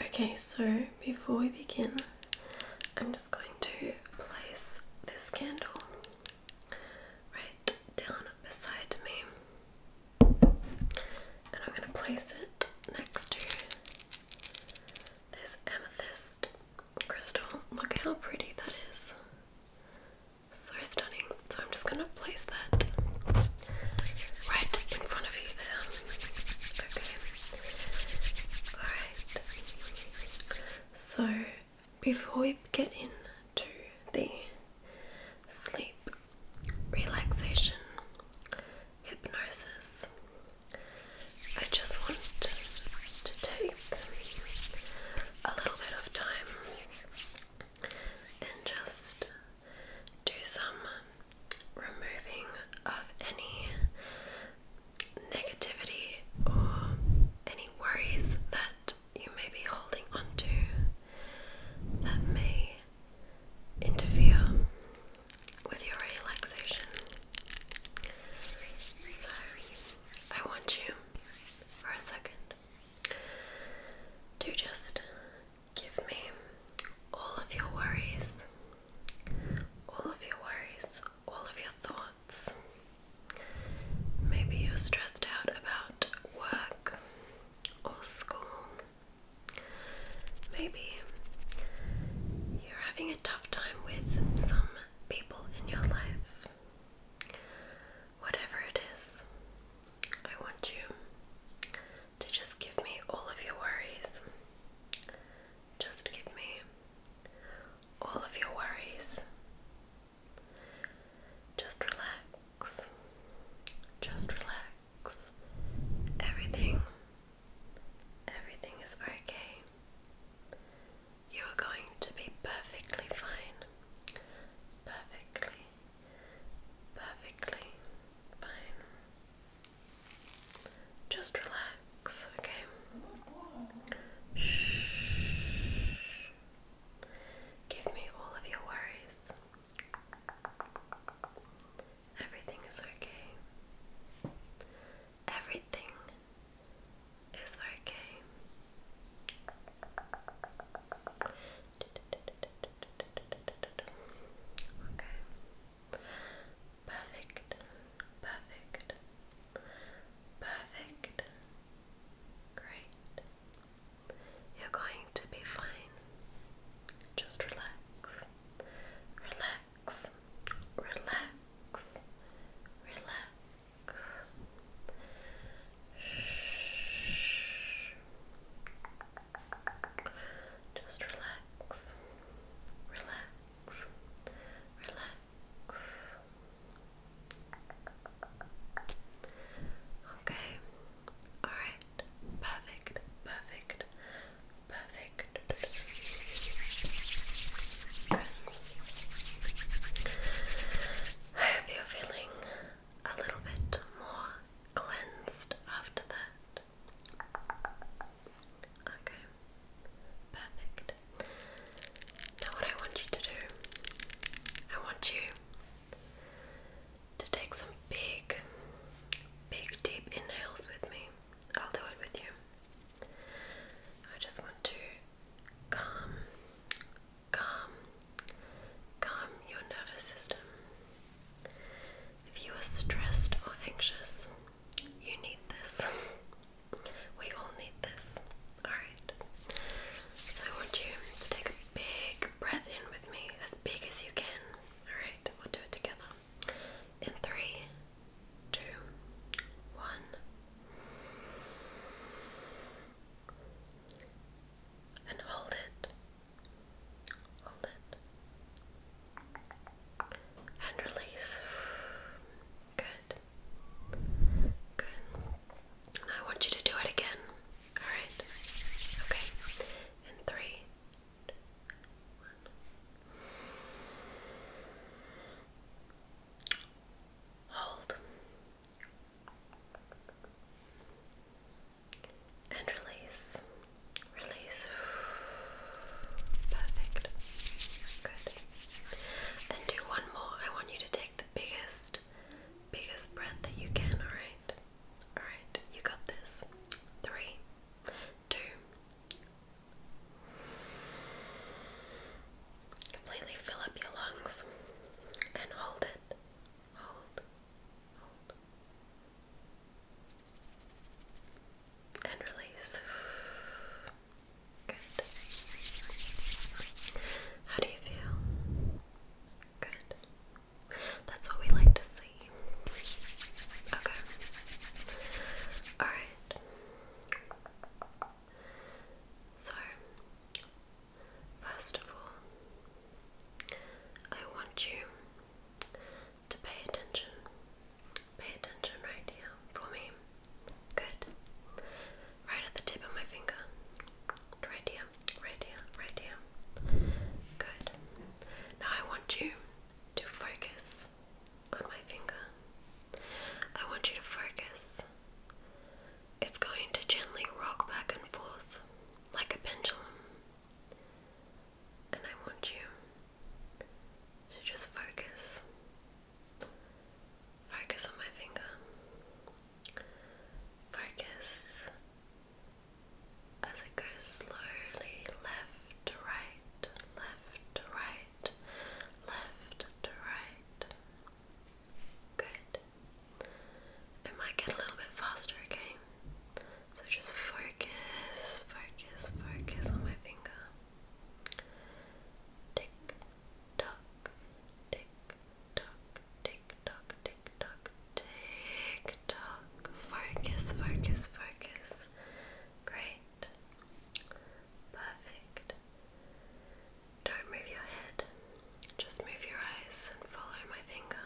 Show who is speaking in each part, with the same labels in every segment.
Speaker 1: Okay, so before we begin, I'm just going to place this candle right down beside me, and I'm going to place it next to this amethyst crystal. Look how pretty that is! So stunning. So I'm just going to place that right in front of you Okay. Alright. So, before we get into the sleep, relaxation, hypnosis, I just want to take a little bit of time and just do some removing of any negativity or any worries that you may be holding onto that may interfere with your relaxation. So, I want you for a second to just Give me all of your worries, all of your worries, all of your thoughts. Maybe you're stressed out about work or school. Maybe you're having a tough time with some people in your life. Whatever it is, I want you to just give me all of your worries. Just give me all of your worries. Just relax. Just relax. Everything, everything is okay. You are going to be perfectly fine. Perfectly, perfectly fine. Just relax, okay? Shh. Give me all of your worries. Everything is okay. Everything is okay. Okay. Perfect. Perfect. Perfect. Great. You're going to be fine. Just relax. Relax. Relax. Relax. Shh. Just relax, relax, relax. Okay, alright, perfect, perfect, perfect. I hope you're feeling a little bit more cleansed after that. Okay, perfect. Now, what I want you to do, I want you to take some big, big, deep inhales with me. I'll do it with you. I just want to calm, calm, calm your nervous system. If you are stressed or anxious, you need this. we all need this. Alright. So I want you to take a big breath in with me, as big as you can. Alright, we'll do it together. In three, two, one. And hold it Hold it. And release. Good. Good. I want you to do it again. Alright? Okay. In three. Hold and release. Release. Perfect. Good. And do one more. I want you to take the biggest, biggest breath that you can, alright? Alright, you got this. Three, two. Completely fill up your lungs and hold it. Hold, hold, and release. Good. How do you feel? Good. That's what we like to see. Okay. Alright. So, first of all, I want you to pay attention. Pay attention right here for me. Good. Right at the tip of my finger. Right here, right here, right here. Good. Now I want you to focus on my finger. I want you to focus. It's going to gently rock back and forth like a pendulum. And I want you to just focus. Focus on my finger. Focus as it goes slowly left to right, left to right, left to right. Good. It might get a little bit faster, okay? So just focus, focus, focus on my finger. Tick tock, tick tock, tick tock, tick tock, tick tock. Focus, focus, focus. Great. Perfect. Don't move your head. Just move your eyes and follow my finger.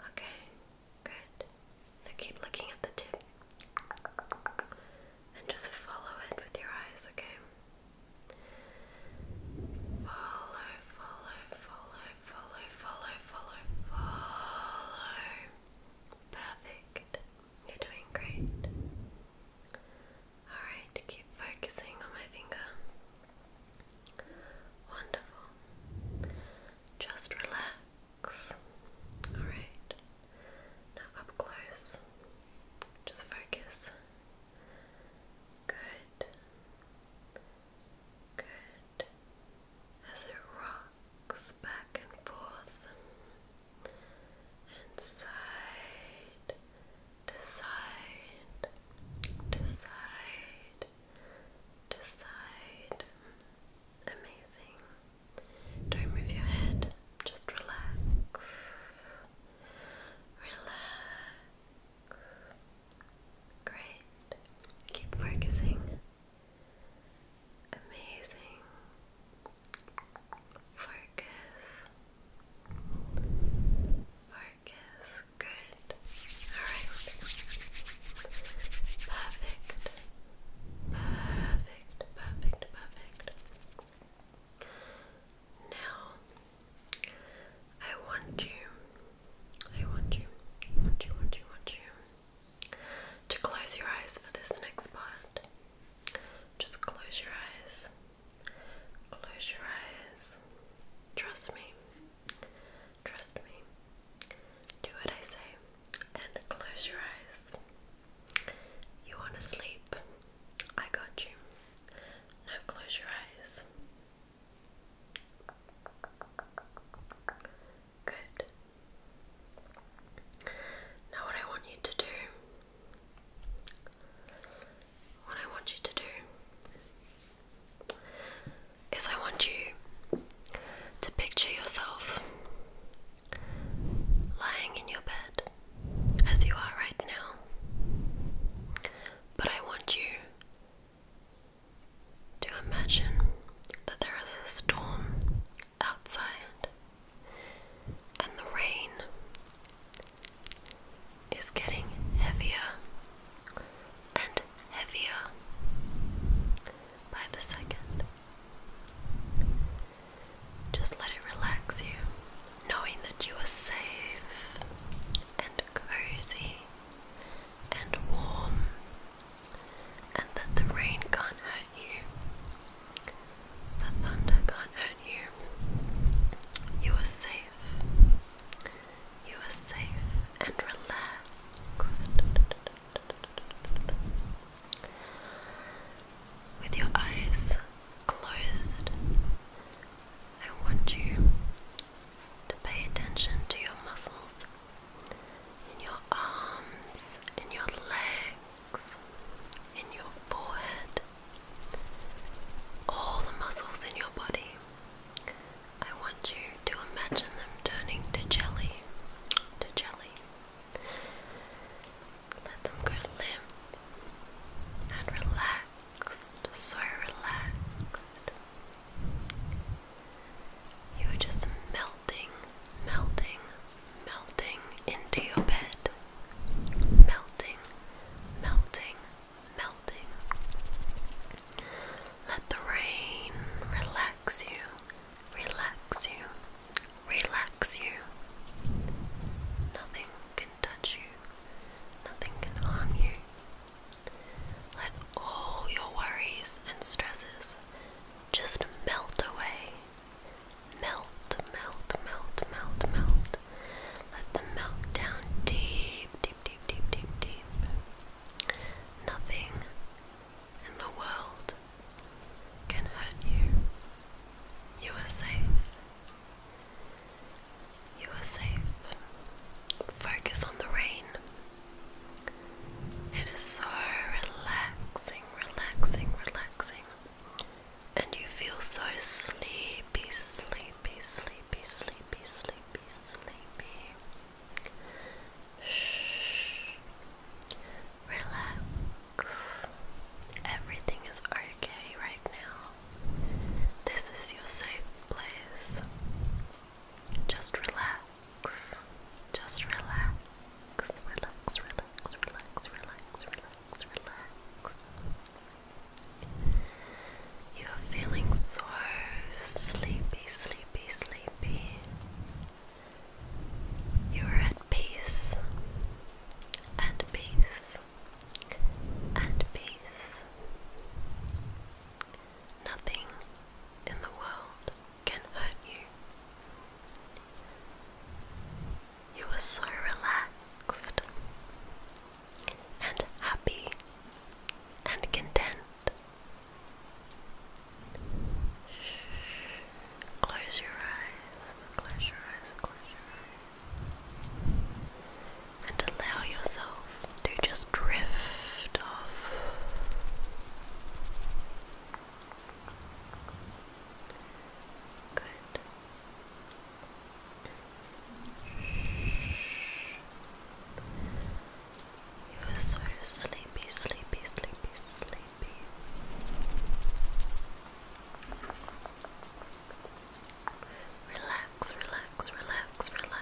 Speaker 1: Okay, good. Now keep looking at the tip and just follow it with your eyes, okay? Follow, follow, follow, follow, follow, follow, follow. Perfect. You're doing great. Alright, keep focusing on my finger. Wonderful. Just relax. Alright. Now up close. Just focus. Good. Good. As it rocks back and forth and decide, decide, decide. Amazing. Don't move your head, just relax. Relax. Great. Keep focusing. Amazing. Focus. Focus focus. Good. Alright. Perfect. Perfect. Perfect. Perfect. Now I want you. I want you. Want you want you want you to close your eyes for this next part. Just close your eyes. Close your eyes. Trust me. Trust me. Do what I say and close your eyes. You want to sleep? I got you. Now close your eyes. Good. Now, what I want you to do what I want you to do is I want you to picture yourself lying in your bed as you are right now. But I want you to imagine that there is a storm outside and the rain is getting heavier and heavier by the second. Just let it relax you, knowing that you are safe and cozy and warm, and that the rain can't hurt you, the thunder can't hurt you. You are safe. You are safe and relaxed. With your eyes closed, I want you to pay attention to your muscles in your arms, in your legs, in your forehead, all the muscles in your body. I want you to imagine them turning to jelly, to jelly. Let them go limp and relaxed, so relaxed. You are just melting, melting, melting into your bed. Melting, melting, melting. Let the rain relax you, relax you, relax you. Nothing can touch you, nothing can harm you. Let all your worries and stresses just melt away. Melt, melt, melt, melt, melt. Let them melt down deep, deep, deep, deep, deep, Nothing in the world can hurt you. You are safe. You are safe. Focus on the rain. It is so relaxing, relaxing, relaxing and you feel so sleepy, sleepy, sleepy, sleepy, sleepy, sleepy. Shh. Relax. Everything is okay right now. This is your safe place. Just relax. Just relax. Relax, relax, relax, relax, relax. You are feeling so sleepy, sleepy, sleepy. You are at peace, and peace, and peace. Nothing in the world can hurt you. You are so relaxed and happy and content. Close your eyes, close your eyes, close your eyes, and allow yourself to just drift off. Good. He was sort sleepy, sleepy, sleepy, sleepy. Relax, relax, relax, relax.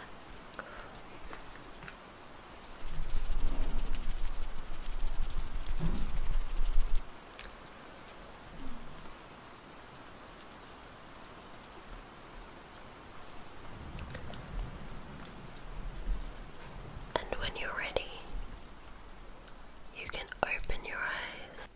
Speaker 1: And when you're ready, you can open your eyes.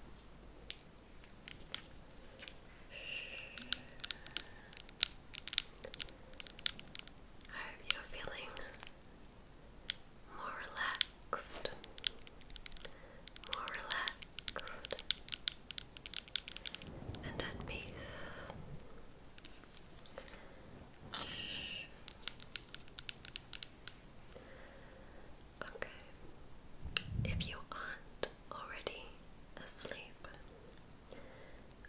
Speaker 1: I hope you feeling more relaxed, more relaxed and at peace. Okay, if you aren't already asleep,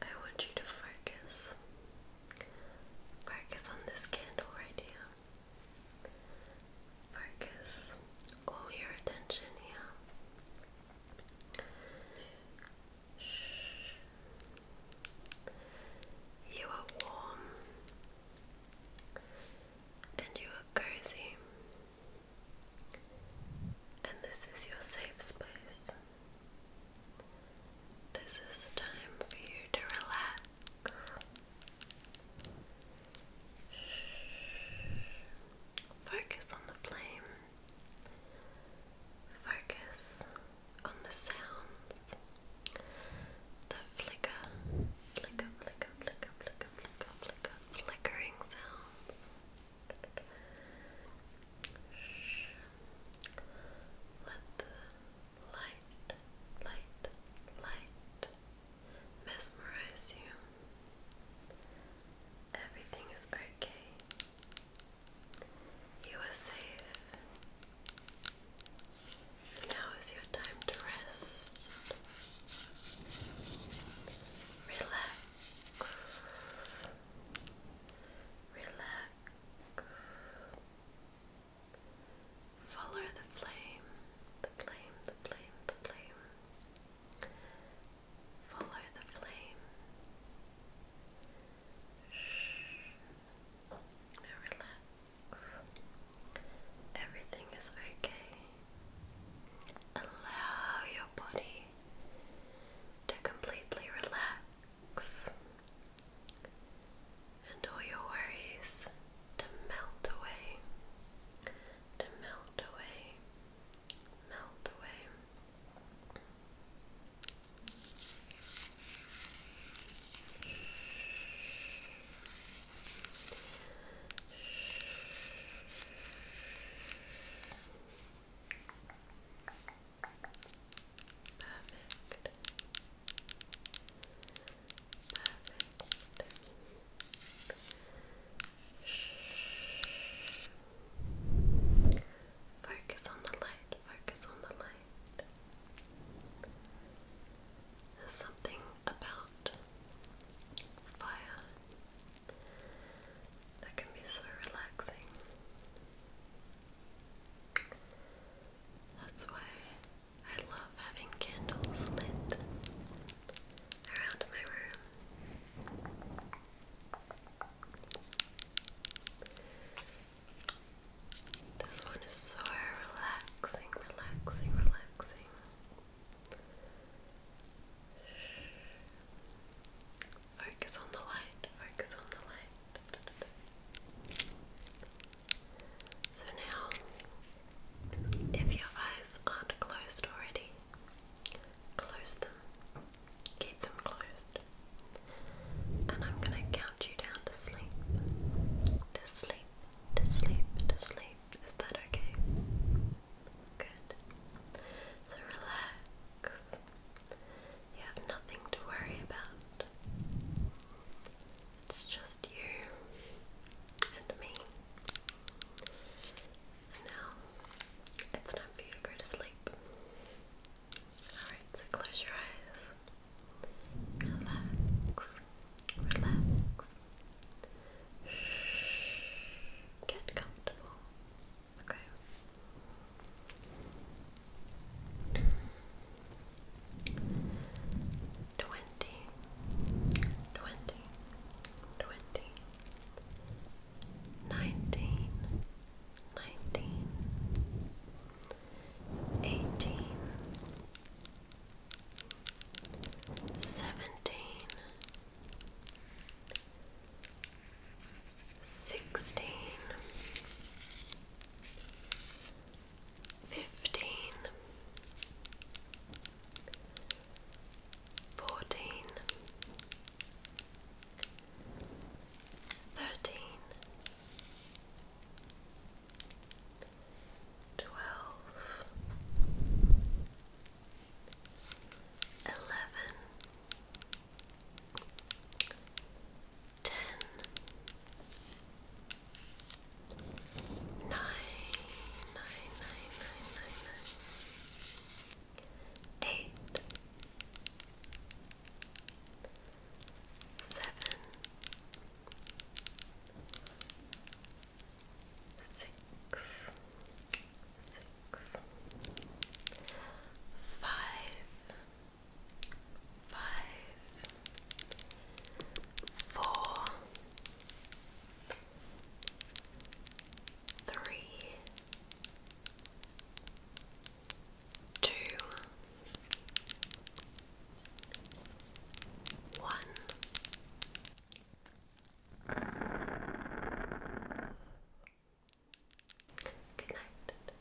Speaker 1: I want you to focus. Focus on this candle right here. Focus all your attention here. You are warm and you are cozy, and this is your safe space. This is the time for you to relax. Focus on the flame. Focus on the sounds. The flicker, flicker, flicker, flicker, flicker, flicker, flicker, flickering sounds. Let the light, light, light, mesmerize you. Everything is okay. You are safe. Now is your time to rest. Relax. Relax. Follow the flame, the flame, the flame, the flame. Follow the flame. Now relax. Everything is okay. Allow your body to completely relax. And all your worries to melt away, to melt away, melt away. Perfect. Perfect. Focus on the light, focus on the light. There's something about fire that can be so relaxing. That's why I love having candles lit around my room. This one is so relaxing, relaxing, relaxing. Focus on the light, focus on the light. So now, if your eyes aren't closed already, close them. Keep them closed. And I'm going to count you down to sleep. To sleep, to sleep, to sleep. Is that okay? Good. So relax. You have nothing to worry about. It's just you and me. And now it's time for you to go to sleep. Alright, so close your eyes. Relax. Relax. Shh. Get comfortable. Okay twenty, twenty, twenty, nineteen, nineteen, eighteen, seventeen, sixteen. 15 fifteen, fourteen, thirteen, twelve, eleven, ten. 9 nine, nine, nine, nine, nine, nine, eight, seven, six, six, five, five four, three, two, one. Good night.